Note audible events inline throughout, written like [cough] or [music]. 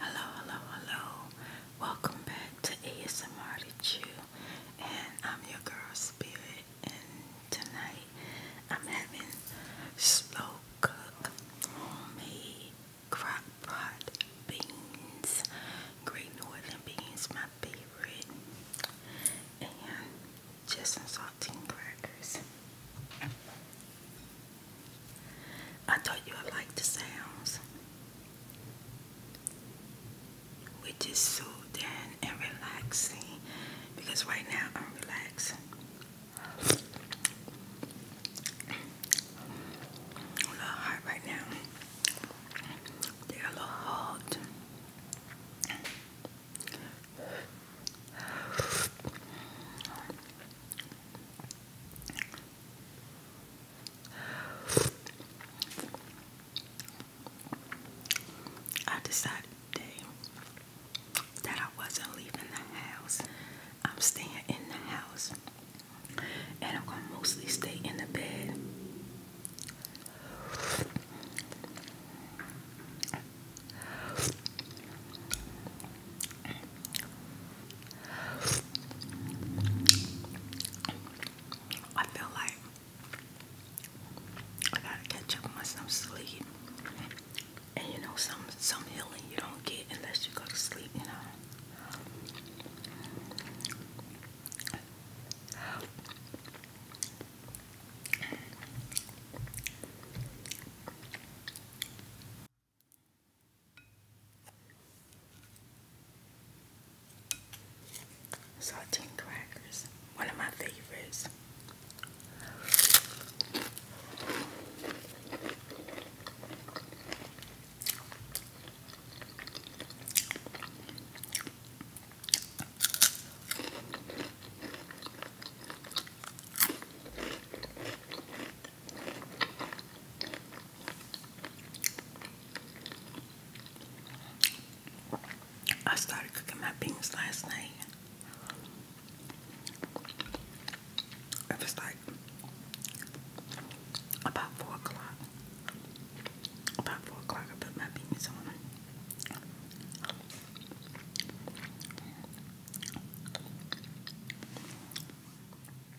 Hello, hello, hello. Welcome back to ASMR to Chew. And I'm your girl Spirit. And tonight I'm having slow cook homemade crock beans. Great northern beans, my favorite. And just some saltine crackers. I thought you would like the sounds, which is soothing and relaxing because right now I'm relaxing. I'm right now. They're a little hot. I decided today that I wasn't leaving the house. I'm staying in the house. And I'm going to mostly stay in the bed. I feel like I gotta catch up on some sleep. And you know, some some healing you don't get unless you go to sleep, you know. Saltine crackers, one of my favorites. I started cooking my beans last night. It was like about four o'clock. About four o'clock, I put my beans on.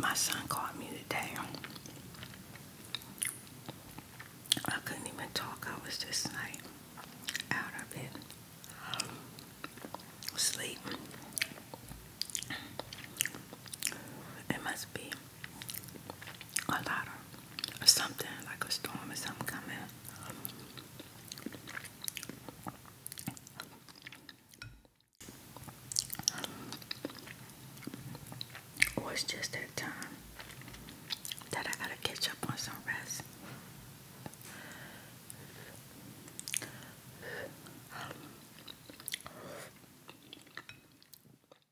My son called me today. I couldn't even talk. I was just like out of it. Sleep. It must be a lot of or something like a storm or something coming. Or it's just that time that I gotta catch up on some rest.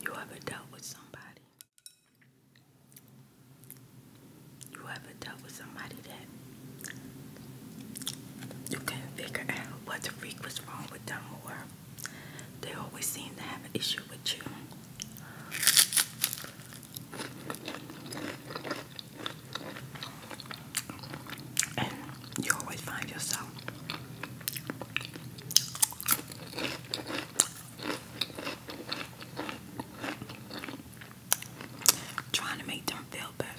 You ever dealt with somebody? You ever dealt with somebody that you can not figure out what the freak was wrong with them or they always seem to have an issue with you. And you always find yourself trying to make them feel better.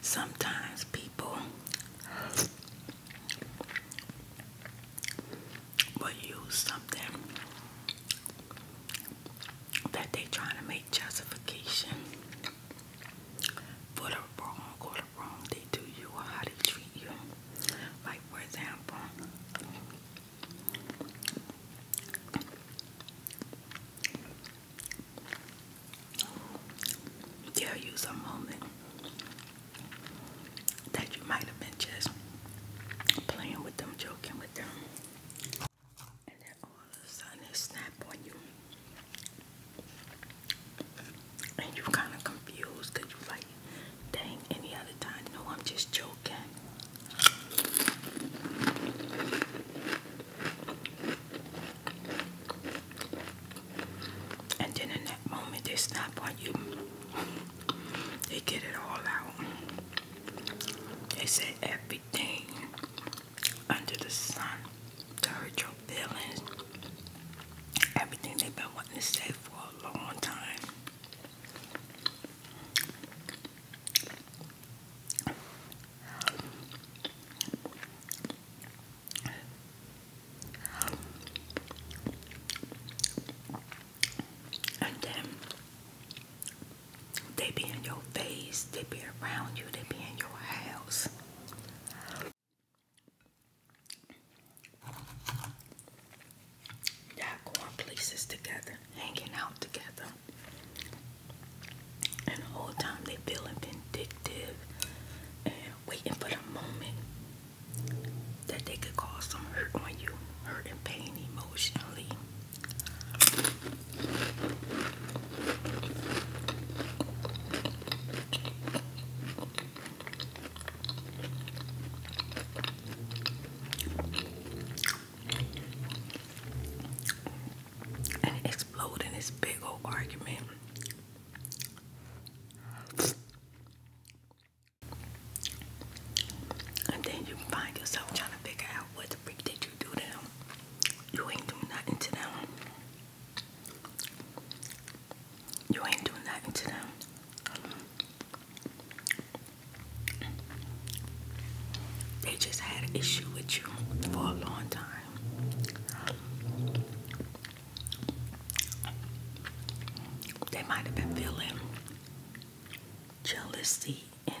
Sometimes people will use something that they trying to make justification for the wrong or the wrong they do you or how they treat you. Like for example, there you's a moment that you might have been just playing with them, joking with them. And then all of a sudden it snap on you. And you kind of confused you like, dang, any other time, no, I'm just joking. And then in that moment, they snap on you. They get it all out. They say everything under the sun to hurt your feelings. Everything they've been wanting to say for a long time. And then they be in your face, they be around you, they be in your house. Y'all going places together, hanging out together. And all the time they feeling vindictive and waiting for the moment that they could cause some hurt on you, hurt and pain emotionally and explode in this big old argument. And then you find yourself trying to figure out what the freak did you do to them. You ain't do nothing to them. You ain't do nothing to them. They just had an issue with you for a long time. They might have been feeling jealousy, envy.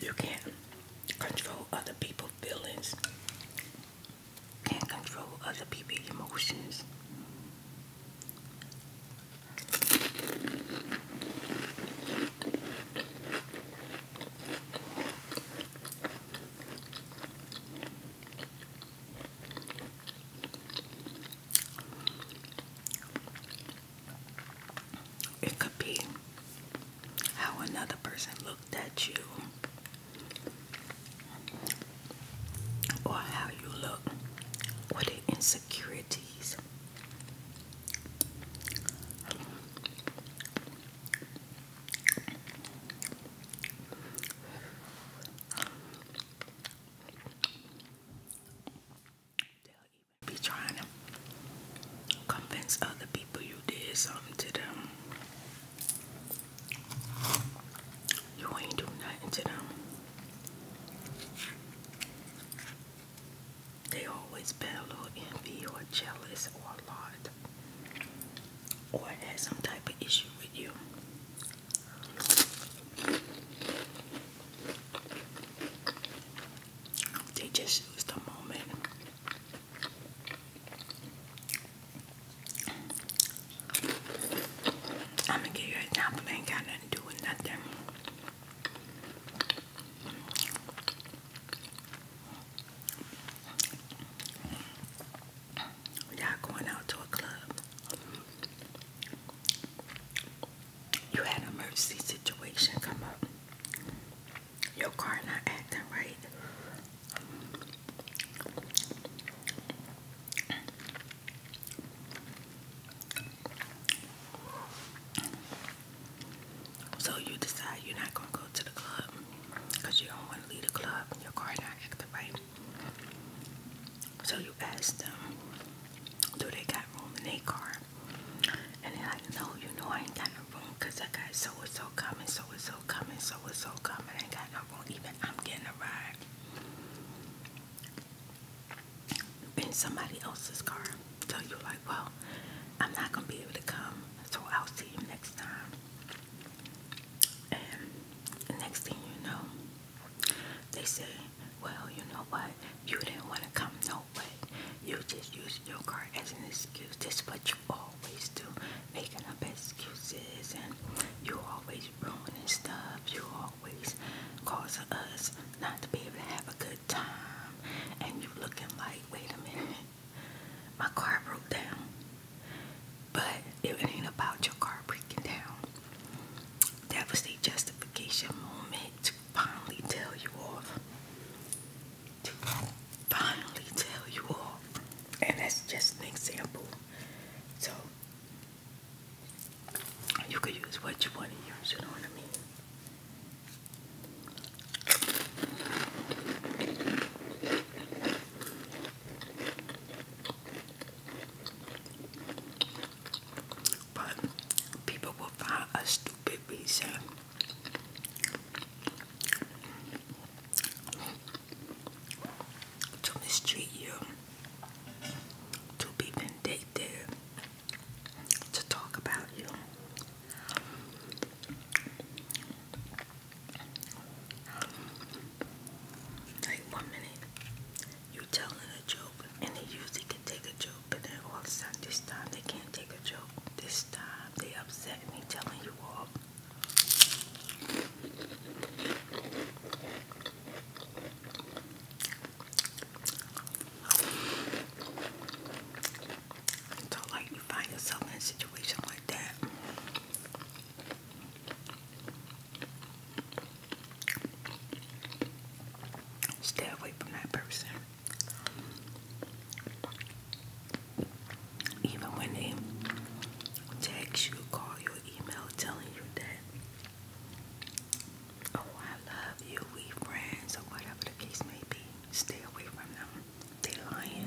You can't control other people's feelings. Can't control other people's emotions. It could be how another person looked at you or how you look or the insecurities. They'll even be trying to convince other people you did something to them. You ain't do nothing to them. They always been a little envy or jealous or a lot or had some type of issue with you. They just use the moment. I'm gonna give you a job, got nothing to do with nothing. Y'all going out to a club you had an emergency situation come up. Your car not acting right. So you decide you're not gonna go to the club because you don't want to leave the club. Your car not acting right. So you ask them, do they got room in their car? And they're like, no, you know I ain't got no room because I got so-and-so coming, so-and-so coming, so-and-so coming. I ain't got no room. Even I'm getting a ride in somebody else's car. So you're like, well, I'm not going to be able to come, so I'll see you next time. And next thing you know, they say. Well, you know what? You didn't want to come, no way. You just used your car as an excuse. That's what you always do, making up excuses, and you always ruining stuff. You always cause us not to be able to have a good time. And you looking like, wait a minute, my car broke down. But it ain't about your car breaking down. That was the justification moment to finally tell you off. To finally tell you off. And that's just an example. So you could use what you want to use, you know what I mean? but people will find a stupid reason. To mistreat you, to be vindictive, to talk about you. Like one minute, you telling a joke and they usually can take a joke but then all of a sudden this time they can't take a joke this time they upset me telling you all so like you find yourself in a situation like that Stay away from that person. Even when they text you, call you, email telling you that, oh, I love you, we friends, or whatever the case may be, stay away from them. They lying.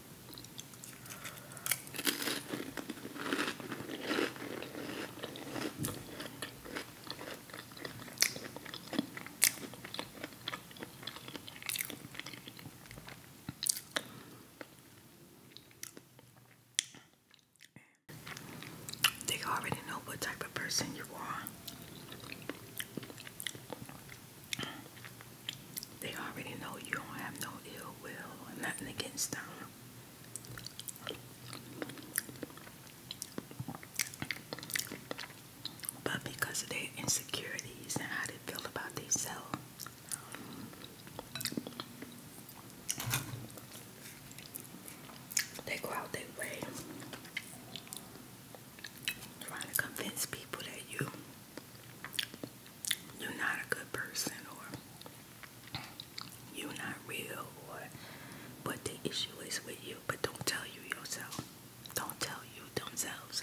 They already know what type of person you are. They already know you don't have no ill will, nothing against them. But because of their insecurities and how they feel about themselves, they go out their way trying to convince people that you you're not a good person or you're not real or but the issue is with you, but don't tell you yourself. Don't tell you themselves.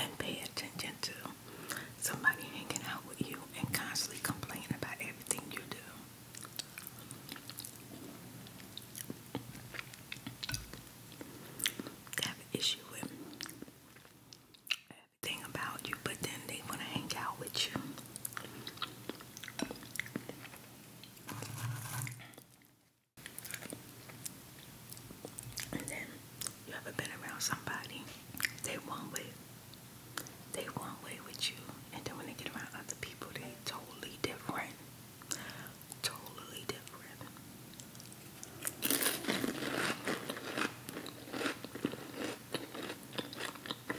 And pay attention to somebody hanging out with you and constantly complaining about everything you do. have an issue with everything about you, but then they want to hang out with you. And then you ever been around somebody, they one way, they one way with you, and then when they get around other people, they totally different. Totally different.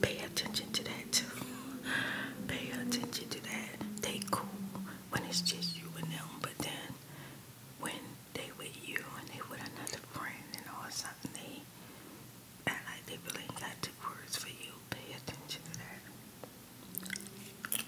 Pay attention to that too. [laughs] Pay attention to that. They cool when it's just you and them, but then when they with you and they with another friend and all something, they act like they really got two words for you. Pay attention to that.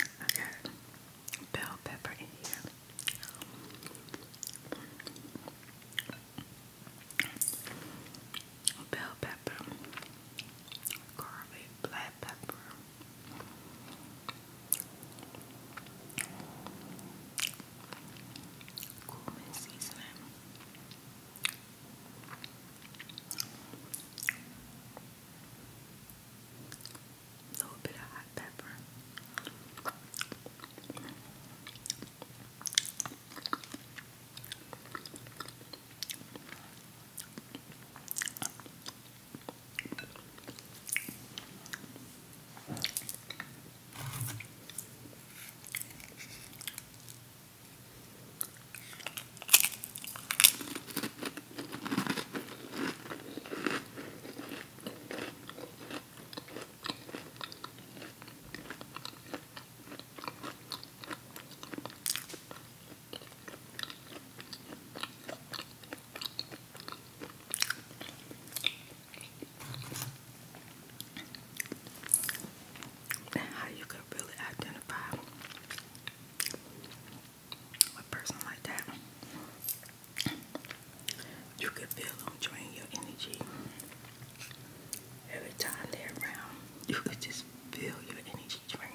I bell pepper in here. Bell pepper, garlic, black pepper, cumin seasoning, a little bit of hot pepper. And how you could really identify a person like that, you can feel them drain your energy. Every time they're around, you could just feel your energy draining.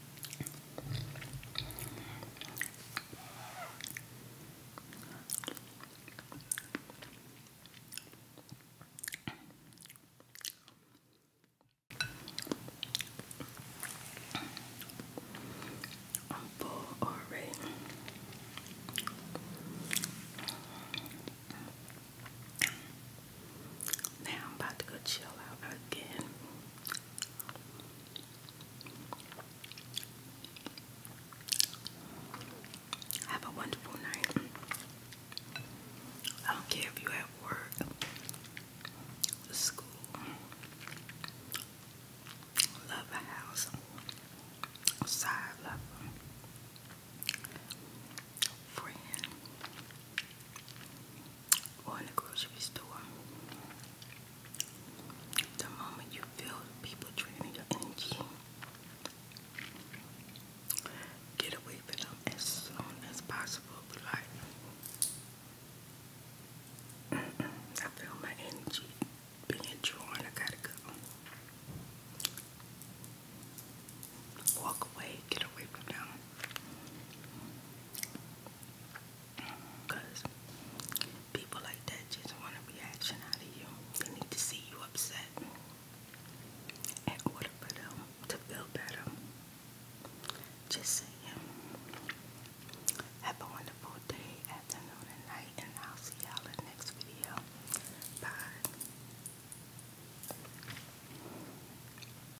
Apple already. Now I'm about to go chill out again. Have a wonderful night. I don't care if you're at work, school, love a house, side love, friend, or in a grocery store. The moment you feel people draining your energy, get away from them as soon as possible. like, [clears throat] I feel my energy being drawn. I gotta go. Walk away, get away from them. Because people like that just want a reaction out of you. They need to see you upset in order for them to feel better. Just saying. Have a wonderful day, afternoon, and night, and I'll see y'all in the next video. Bye.